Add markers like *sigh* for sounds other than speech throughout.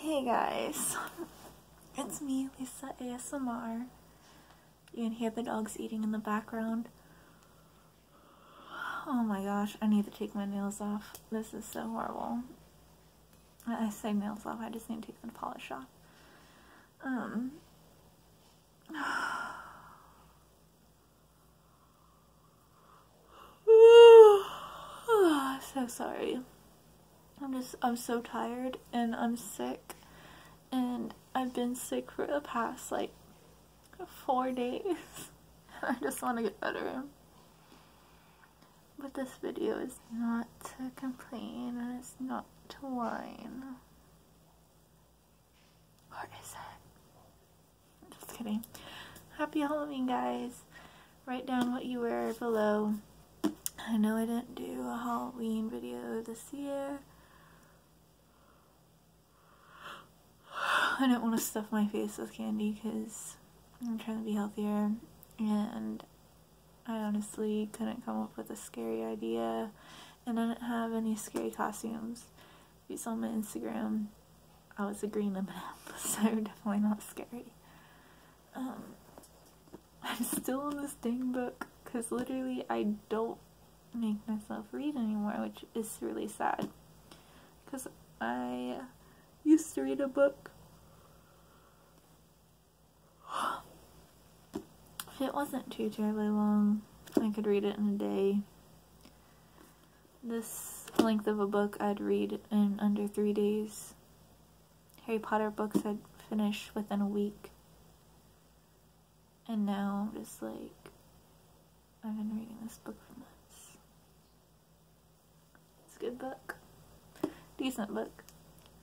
Hey guys, *laughs* it's me, Lisa ASMR. You can hear the dogs eating in the background. Oh my gosh, I need to take my nails off. This is so horrible. I say nails off, I just need to take the polish off. Um, *sighs* *sighs* Oh, *sighs* so sorry. I'm just, I'm so tired and I'm sick and I've been sick for the past like four days. *laughs* I just want to get better. But this video is not to complain and it's not to whine. Or it? Just kidding. Happy Halloween, guys. Write down what you wear below. I know I didn't do a Halloween video this year. I don't want to stuff my face with candy because I'm trying to be healthier and I honestly couldn't come up with a scary idea and I didn't have any scary costumes. If you saw my Instagram, I was a green M&M *laughs* so definitely not scary um, I'm still in this dang book because literally I don't make myself read anymore which is really sad because I used to read a book If it wasn't too terribly long I could read it in a day this length of a book I'd read in under three days. Harry Potter books I'd finish within a week. And now I'm just like, I've been reading this book for months. It's a good book. Decent book,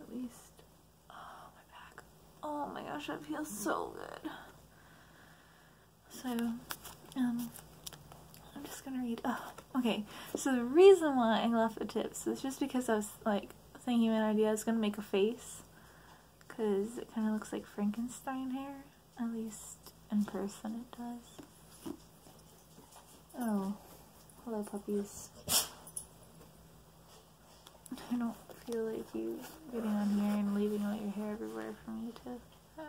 at least. Oh, my back. Oh my gosh, I feel so good. So, um, I'm just gonna read. Oh, okay. So the reason why I left the tips is just because I was like thinking an idea. was gonna make a face because it kind of looks like Frankenstein hair. At least in person, it does. Oh, hello puppies. *laughs* I don't feel like you getting on here and leaving all your hair everywhere for me to. Oh.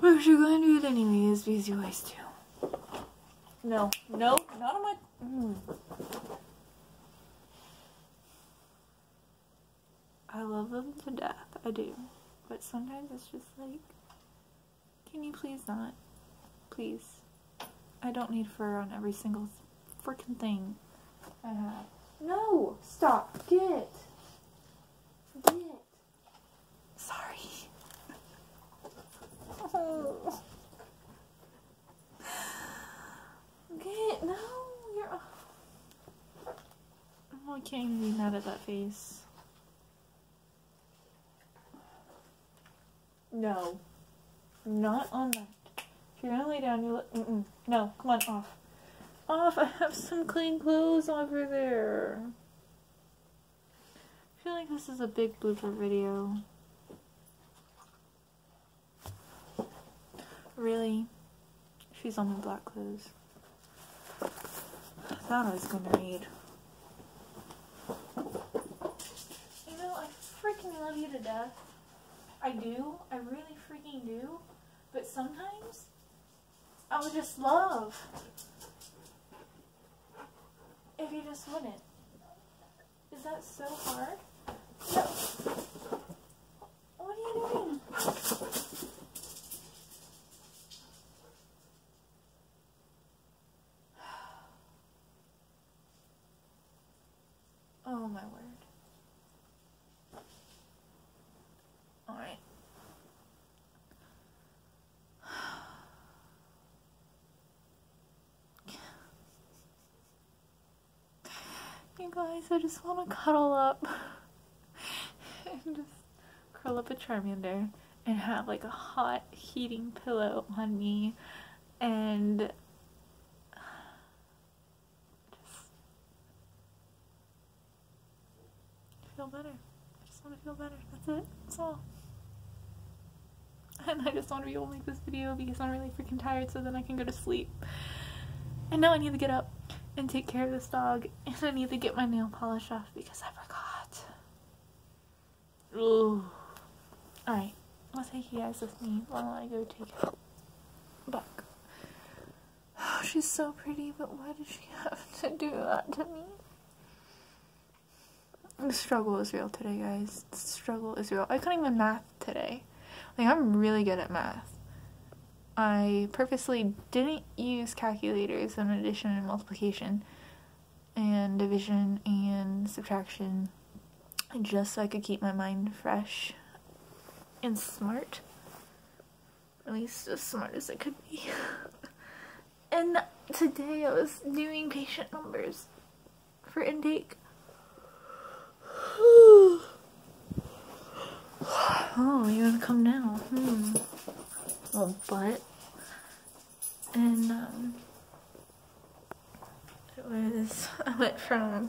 But if you're going to do it anyway, it's because you always do. No, no, not on my. Hmm. I love them to death. I do. But sometimes it's just like, can you please not? Please. I don't need fur on every single freaking thing. Uh, no! Stop! Get! Get! Sorry. Okay. *laughs* Get! No! You're. Oh, I can't even be mad at that face. No. Not on that. If you're gonna lay down, you look. Mm No, come on, off. Off! I have some clean clothes over there. I feel like this is a big blooper video. Really? She's on her black clothes. I thought I was gonna read. You know, I freaking love you to death. I do. I really freaking do. But sometimes I would just love if you just wouldn't. Is that so hard? No. What are you doing? Oh my word. Alright. *sighs* you guys, I just want to cuddle up *laughs* and just curl up a Charmander and have like a hot heating pillow on me and just feel better. I just want to feel better. That's it. That's all. *laughs* And I just want to be able to make this video because I'm really freaking tired so then I can go to sleep. And now I need to get up and take care of this dog. And I need to get my nail polish off because I forgot. Ooh. Alright, I'll take you guys with me while I go take Look, oh, she's so pretty, but why did she have *laughs* to do that to me? The struggle is real today, guys. The struggle is real. I couldn't even math today. Like, I'm really good at math. I purposely didn't use calculators in addition and multiplication and division and subtraction just so I could keep my mind fresh and smart. At least as smart as it could be. *laughs* and today I was doing patient numbers for intake. *sighs* oh, you wanna come now? Hmm. Well, but. And, um, it was, *laughs* I went from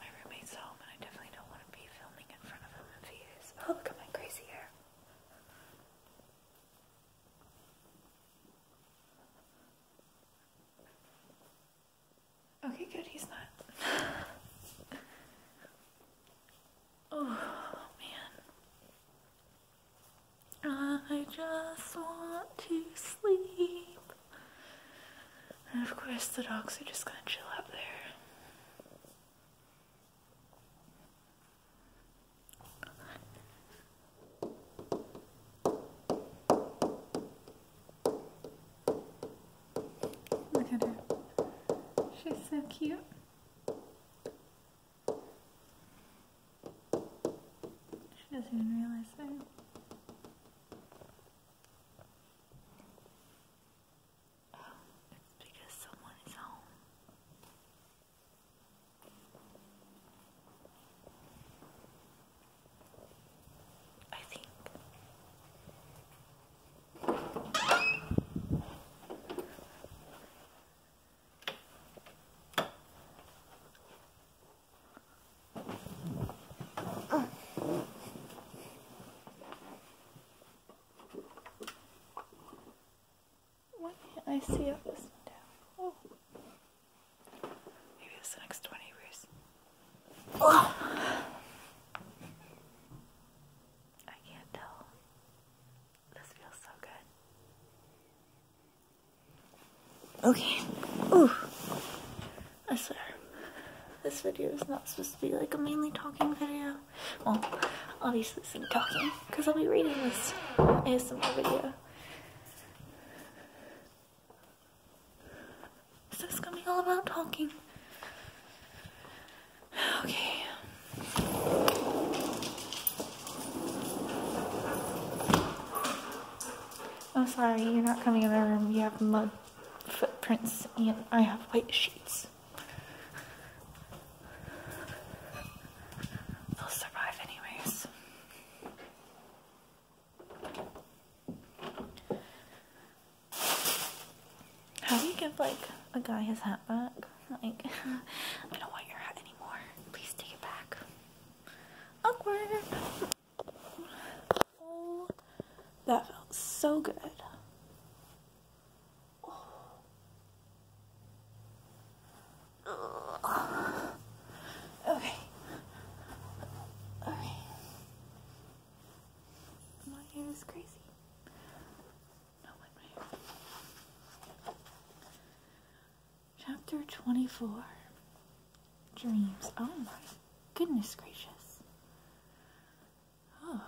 my roommates home, and I definitely don't want to be filming in front of him if he is. Oh, look at my crazy hair. Okay, good, he's not. *laughs* oh, man. I just want to sleep of course, the dogs are just gonna chill out there. Look at her. She's so cute. She doesn't even realize that. Oh, it's because someone is home. I think. Why can't I see up this and down? Oh. Maybe it's next 20 years. I can't tell. This feels so good. Okay. Ooh. I swear. This video is not supposed to be like a mainly talking video. Well, obviously it's some talking, because I'll be reading this ASMR video. So it's gonna be all about talking. Okay. I'm sorry, you're not coming in my room. You have mud footprints and I have white sheets. They'll survive anyways. How do you give like a guy his hat back? Like, *laughs* I don't want your hat anymore. Please take it back. Awkward that felt so good. Oh. Okay. Okay. My hair is crazy. No, my hair. Chapter 24 Dreams. Oh my goodness gracious. Oh.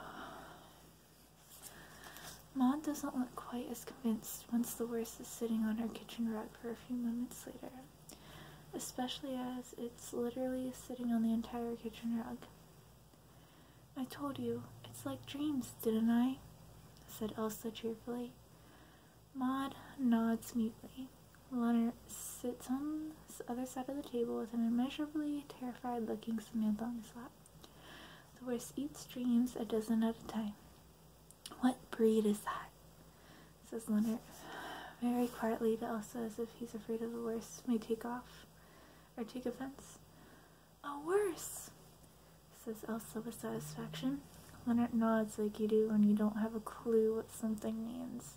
Maud doesn't look quite as convinced once the worst is sitting on her kitchen rug for a few moments later, especially as it's literally sitting on the entire kitchen rug. I told you, it's like dreams, didn't I? said Elsa cheerfully. Maud nods mutely. Leonard sits on the other side of the table with an immeasurably terrified looking Samantha on his lap. The worst eats dreams a dozen at a time. What breed is that? says Leonard very quietly to Elsa as if he's afraid of the worst may take off or take offense. A worst, says Elsa with satisfaction when nods like you do when you don't have a clue what something means.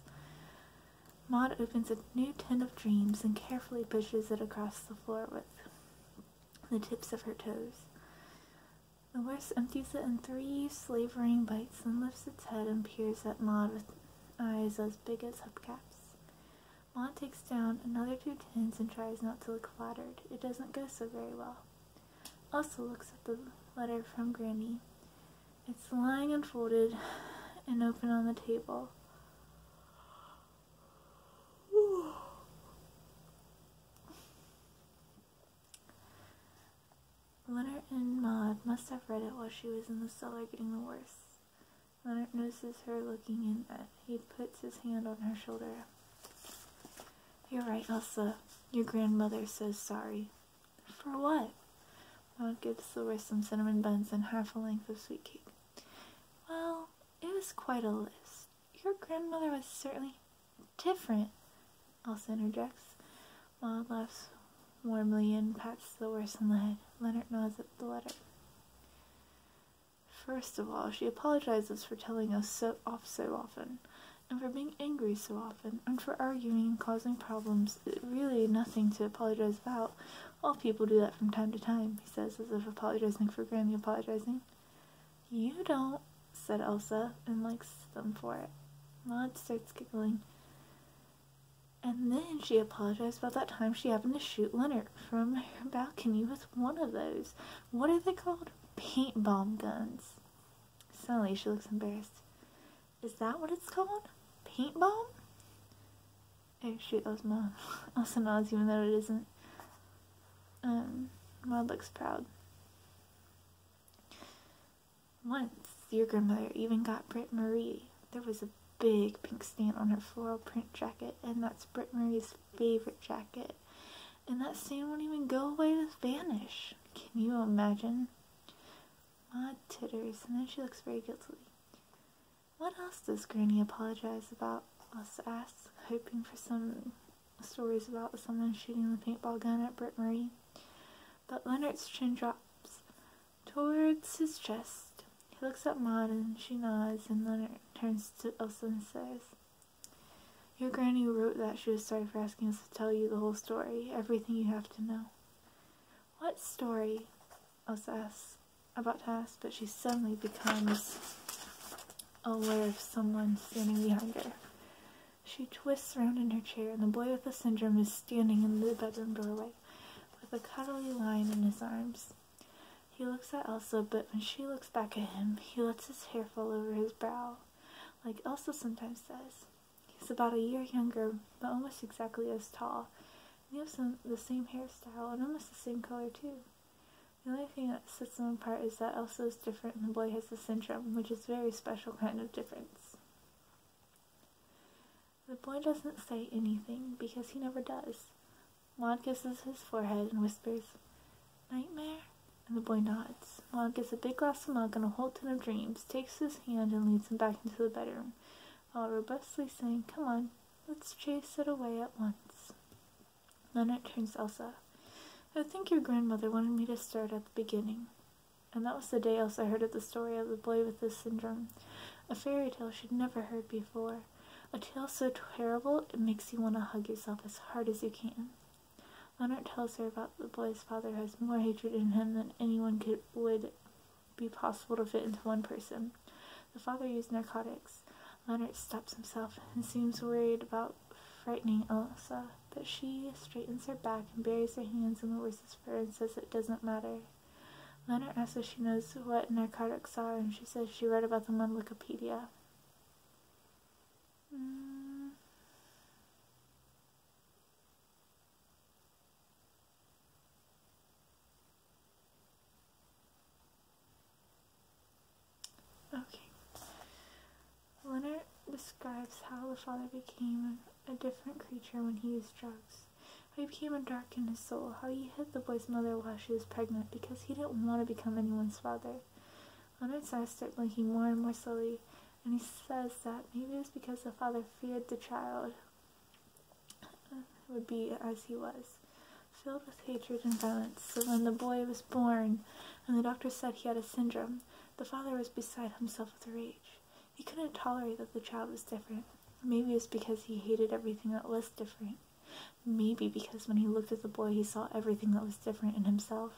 Maud opens a new tin of dreams and carefully pushes it across the floor with the tips of her toes. The horse empties it in three slavering bites and lifts its head and peers at Maud with eyes as big as hubcaps. Maud takes down another two tins and tries not to look flattered. It doesn't go so very well also looks at the letter from Granny. It's lying unfolded and open on the table. Ooh. Leonard and Maud must have read it while she was in the cellar getting the worse. Leonard notices her looking in. and He puts his hand on her shoulder. You're right, Elsa. Your grandmother says sorry. For what? Maud gives Silver some cinnamon buns and half a length of sweet cake. Well, it was quite a list. Your grandmother was certainly different, Elsa interjects. Maud laughs warmly and pats Silver's on the head. Leonard nods at the letter. First of all, she apologizes for telling us so off so often and for being angry so often, and for arguing and causing problems. It really nothing to apologize about. All people do that from time to time, he says, as if apologizing for Grammy apologizing. You don't, said Elsa, and likes them for it. Maud starts giggling. And then she apologized about that time she happened to shoot Leonard from her balcony with one of those. What are they called? Paint bomb guns. Suddenly she looks embarrassed. Is that what it's called? Paint bomb? Actually, Osmo also nods even though it isn't. Um, looks proud. Once your grandmother even got Britt Marie. There was a big pink stain on her floral print jacket, and that's Britt Marie's favorite jacket and that scene won't even go away and vanish. Can you imagine? Ma titters, and then she looks very guilty. What else does Granny apologize about? Us asks, hoping for some stories about someone shooting the paintball gun at Britt Marie. But Leonard's chin drops towards his chest. He looks at Maud and she nods, and Leonard turns to Elsa and says, your granny wrote that she was sorry for asking us to tell you the whole story, everything you have to know. What story? Elsa asks, about to ask, but she suddenly becomes aware of someone standing behind her. She twists around in her chair, and the boy with the syndrome is standing in the bedroom doorway, with a cuddly lion in his arms. He looks at Elsa, but when she looks back at him, he lets his hair fall over his brow like Elsa sometimes says. He's about a year younger, but almost exactly as tall. And he has some, the same hairstyle and almost the same color, too. The only thing that sets them apart is that Elsa is different and the boy has the syndrome, which is a very special kind of difference. The boy doesn't say anything because he never does. Mom kisses his forehead and whispers, Nightmare? And the boy nods. Mom gets a big glass of milk and a whole tin of dreams, takes his hand and leads him back into the bedroom, while robustly saying, Come on, let's chase it away at once. Then it turns to Elsa. I think your grandmother wanted me to start at the beginning. And that was the day Elsa heard of the story of the boy with the syndrome. A fairy tale she'd never heard before. A tale so terrible it makes you want to hug yourself as hard as you can. Leonard tells her about the boy's father has more hatred in him than anyone could would be possible to fit into one person. The father used narcotics. Leonard stops himself and seems worried about frightening Elsa, but she straightens her back and buries her hands in the Larissa's fur and says it doesn't matter. Leonard asks if she knows what narcotics are, and she says she read about them on Wikipedia. Uh, okay. Leonard describes how the father became a different creature when he used drugs. How he became a dark in his soul. How he hit the boy's mother while she was pregnant because he didn't want to become anyone's father. Anansi started blinking more and more slowly, and he says that maybe it's because the father feared the child uh, would be as he was, filled with hatred and violence. So when the boy was born, and the doctor said he had a syndrome, the father was beside himself with rage. He couldn't tolerate that the child was different. Maybe it's because he hated everything that was different. Maybe because when he looked at the boy, he saw everything that was different in himself.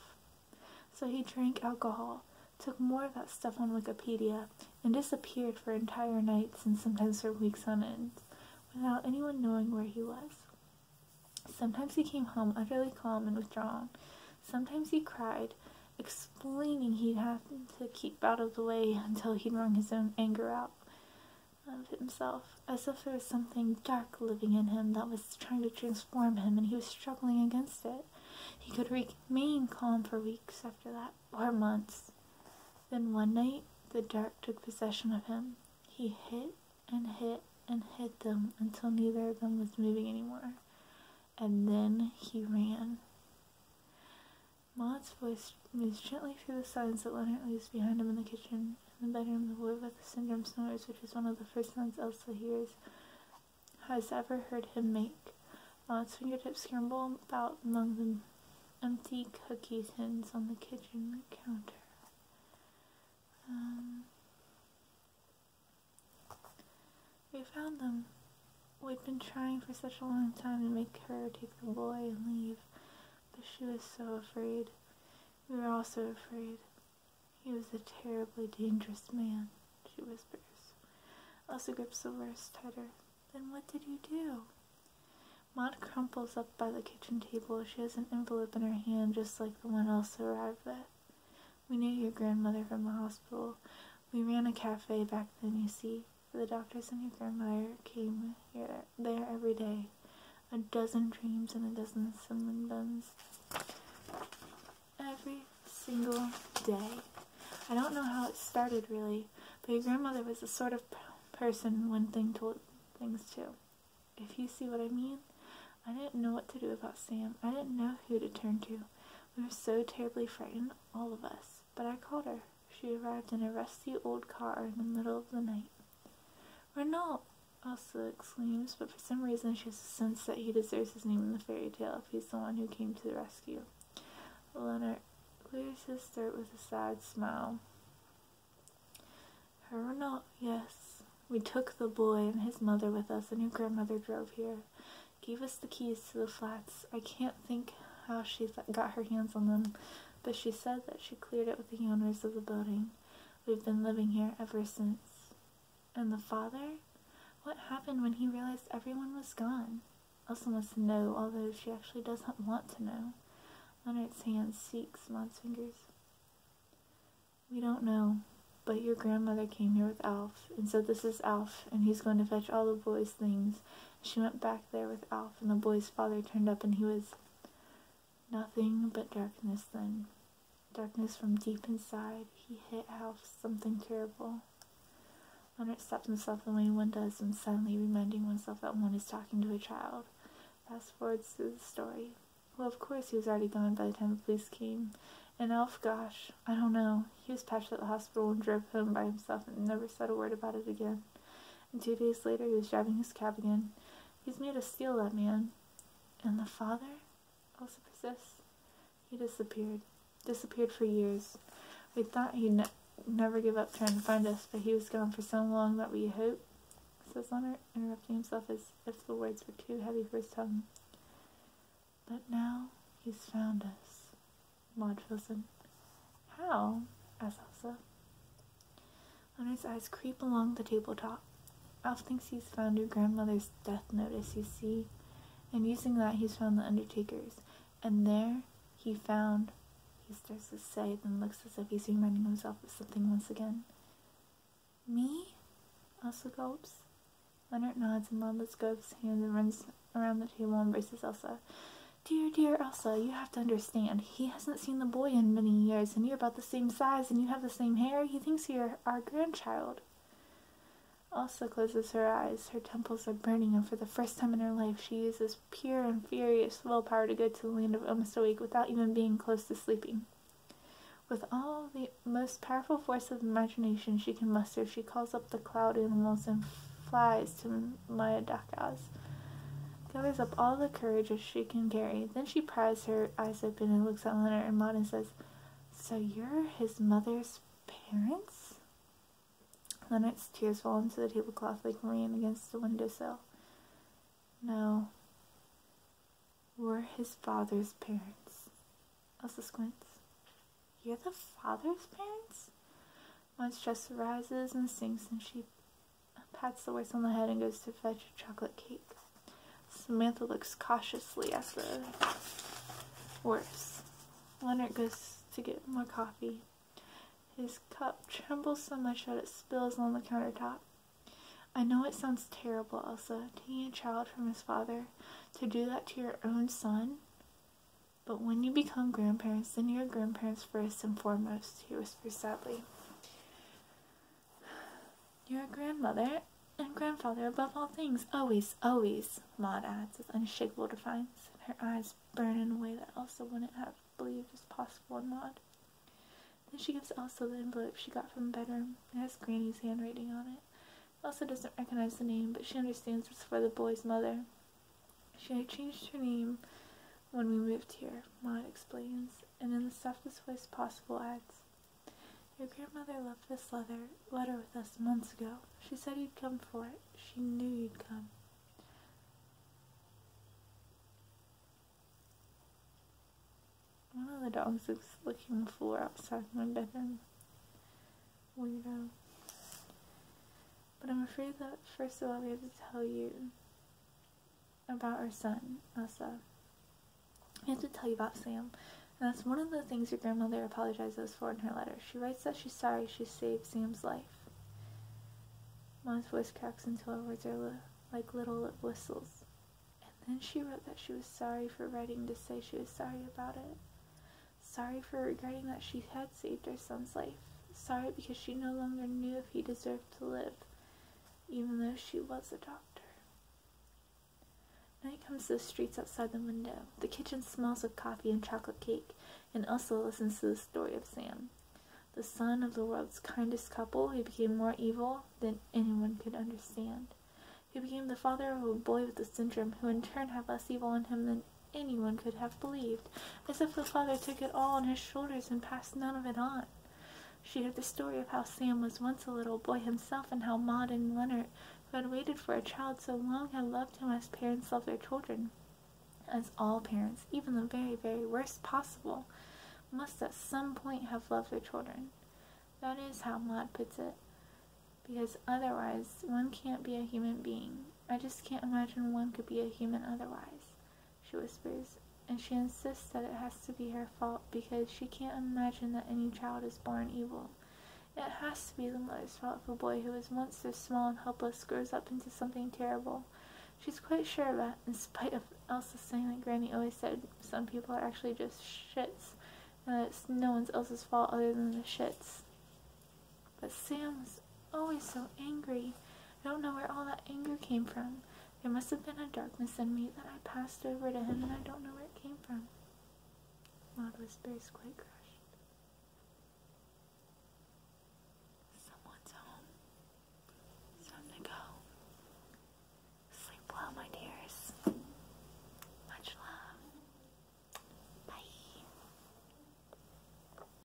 So he drank alcohol, took more of that stuff on Wikipedia, and disappeared for entire nights and sometimes for weeks on end without anyone knowing where he was. Sometimes he came home utterly calm and withdrawn. Sometimes he cried, explaining he'd have to keep out of the way until he'd wrung his own anger out of himself as if there was something dark living in him that was trying to transform him and he was struggling against it. He could remain calm for weeks after that, or months. Then one night, the dark took possession of him. He hit and hit and hit them until neither of them was moving anymore. And then he ran. Maud's voice moves gently through the silence that Leonard leaves behind him in the kitchen in the bedroom, the boy with the syndrome snores, which is one of the first sounds Elsa hears, has ever heard him make. Uh, its fingertips scramble about among the empty cookie tins on the kitchen counter. Um, we found them. We'd been trying for such a long time to make her take the boy and leave, but she was so afraid. We were all so afraid. He was a terribly dangerous man, she whispers. Elsa grips the wrist tighter. Then what did you do? Maud crumples up by the kitchen table. She has an envelope in her hand, just like the one Elsa arrived with. We knew your grandmother from the hospital. We ran a cafe back then, you see. The doctors and your grandmother came here there every day. A dozen dreams and a dozen cinnamon buns. Every single day. I don't know how it started really, but your grandmother was a sort of person one thing told things to. If you see what I mean, I didn't know what to do about Sam. I didn't know who to turn to. We were so terribly frightened, all of us. But I called her. She arrived in a rusty old car in the middle of the night. Renault also exclaims, but for some reason she has a sense that he deserves his name in the fairy tale if he's the one who came to the rescue. Leonard clears his throat with a sad smile. Renault, yes. We took the boy and his mother with us, and your grandmother drove here. Gave us the keys to the flats. I can't think how she got her hands on them, but she said that she cleared it with the owners of the building. We've been living here ever since. And the father? What happened when he realized everyone was gone? Elsa must know, although she actually doesn't want to know. Leonard's hand seeks Maud's fingers. We don't know, but your grandmother came here with Alf, and so this is Alf, and he's going to fetch all the boys' things. She went back there with Alf, and the boy's father turned up, and he was Nothing but darkness then. Darkness from deep inside. He hit half something terrible. Leonard stops himself the way one does when suddenly reminding oneself that one is talking to a child. Fast forwards to the story. Well, of course, he was already gone by the time the police came. And Elf, oh, gosh, I don't know. He was patched at the hospital and drove home by himself and never said a word about it again. And two days later, he was driving his cab again, He's made us steal that man. And the father also persists. He disappeared. Disappeared for years. We thought he'd never give up trying to find us, but he was gone for so long that we hoped, says Leonard, interrupting himself as if the words were too heavy for his tongue. But now he's found us, Maud fills in. How? asks Elsa. Honor's eyes creep along the tabletop. Ralph thinks he's found your grandmother's death notice, you see, and using that he's found the undertaker's. And there he found, he starts to say, then looks as if he's reminding himself of something once again. Me? Elsa gulps. Leonard nods and Mamba's goes hand and runs around the table and embraces Elsa. Dear, dear Elsa, you have to understand he hasn't seen the boy in many years, and you're about the same size, and you have the same hair. He thinks you're our grandchild. Elsa closes her eyes. Her temples are burning, and for the first time in her life, she uses pure and furious willpower to go to the land of almost awake without even being close to sleeping. With all the most powerful force of imagination she can muster, she calls up the cloud animals and flies to Maya Duckhouse, gathers up all the courage which she can carry. Then she pries her eyes open and looks at Leonard, and Maud says, So you're his mother's parents? Leonard's tears fall onto the tablecloth like rain against the window sill. No. We're his father's parents. Elsa squints. You're the father's parents? Maud's chest rises and sinks, and she pats the horse on the head and goes to fetch a chocolate cake. Samantha looks cautiously at the horse. Leonard goes to get more coffee. His cup trembles so much that it spills on the countertop. I know it sounds terrible, Elsa, taking a child from his father, to do that to your own son. But when you become grandparents, then you're grandparents first and foremost, he was whispers sadly. a grandmother and grandfather above all things, always, always, Maud adds with unshakable defiance, her eyes burn in a way that Elsa wouldn't have believed was possible in Maud. Then she gives Elsa the envelope she got from the bedroom. It has Granny's handwriting on it. Elsa doesn't recognize the name, but she understands it's for the boy's mother. She changed her name when we moved here, Maud explains, and in the softest voice possible adds, Your grandmother left this letter, letter with us months ago. She said you'd come for it. She knew you'd come. One of the dogs is licking the floor outside my bedroom. Weirdo. But I'm afraid that first of all we have to tell you about our son, Asa. I have to tell you about Sam. And that's one of the things your grandmother apologizes for in her letter. She writes that she's sorry she saved Sam's life. Mom's voice cracks until her words are like little whistles. And then she wrote that she was sorry for writing to say she was sorry about it. Sorry for regretting that she had saved her son's life. Sorry because she no longer knew if he deserved to live, even though she was a doctor. Night comes to the streets outside the window. The kitchen smells of coffee and chocolate cake, and Elsa listens to the story of Sam. The son of the world's kindest couple who became more evil than anyone could understand. He became the father of a boy with a syndrome who in turn had less evil in him than anyone could have believed, as if the father took it all on his shoulders and passed none of it on. She heard the story of how Sam was once a little boy himself and how Maud and Leonard, who had waited for a child so long, had loved him as parents love their children. As all parents, even the very, very worst possible, must at some point have loved their children. That is how Maud puts it. Because otherwise, one can't be a human being. I just can't imagine one could be a human otherwise she whispers, and she insists that it has to be her fault because she can't imagine that any child is born evil. It has to be the mother's fault if a boy who was once so small and helpless grows up into something terrible. She's quite sure of that, in spite of Elsa saying that Granny always said some people are actually just shits, and that no one else's fault other than the shits. But Sam was always so angry. I don't know where all that anger came from. There must have been a darkness in me that I passed over to him and I don't know where it came from. Maud whispers quite crushed. Someone's home. time to go. Sleep well, my dears. Much love. Bye.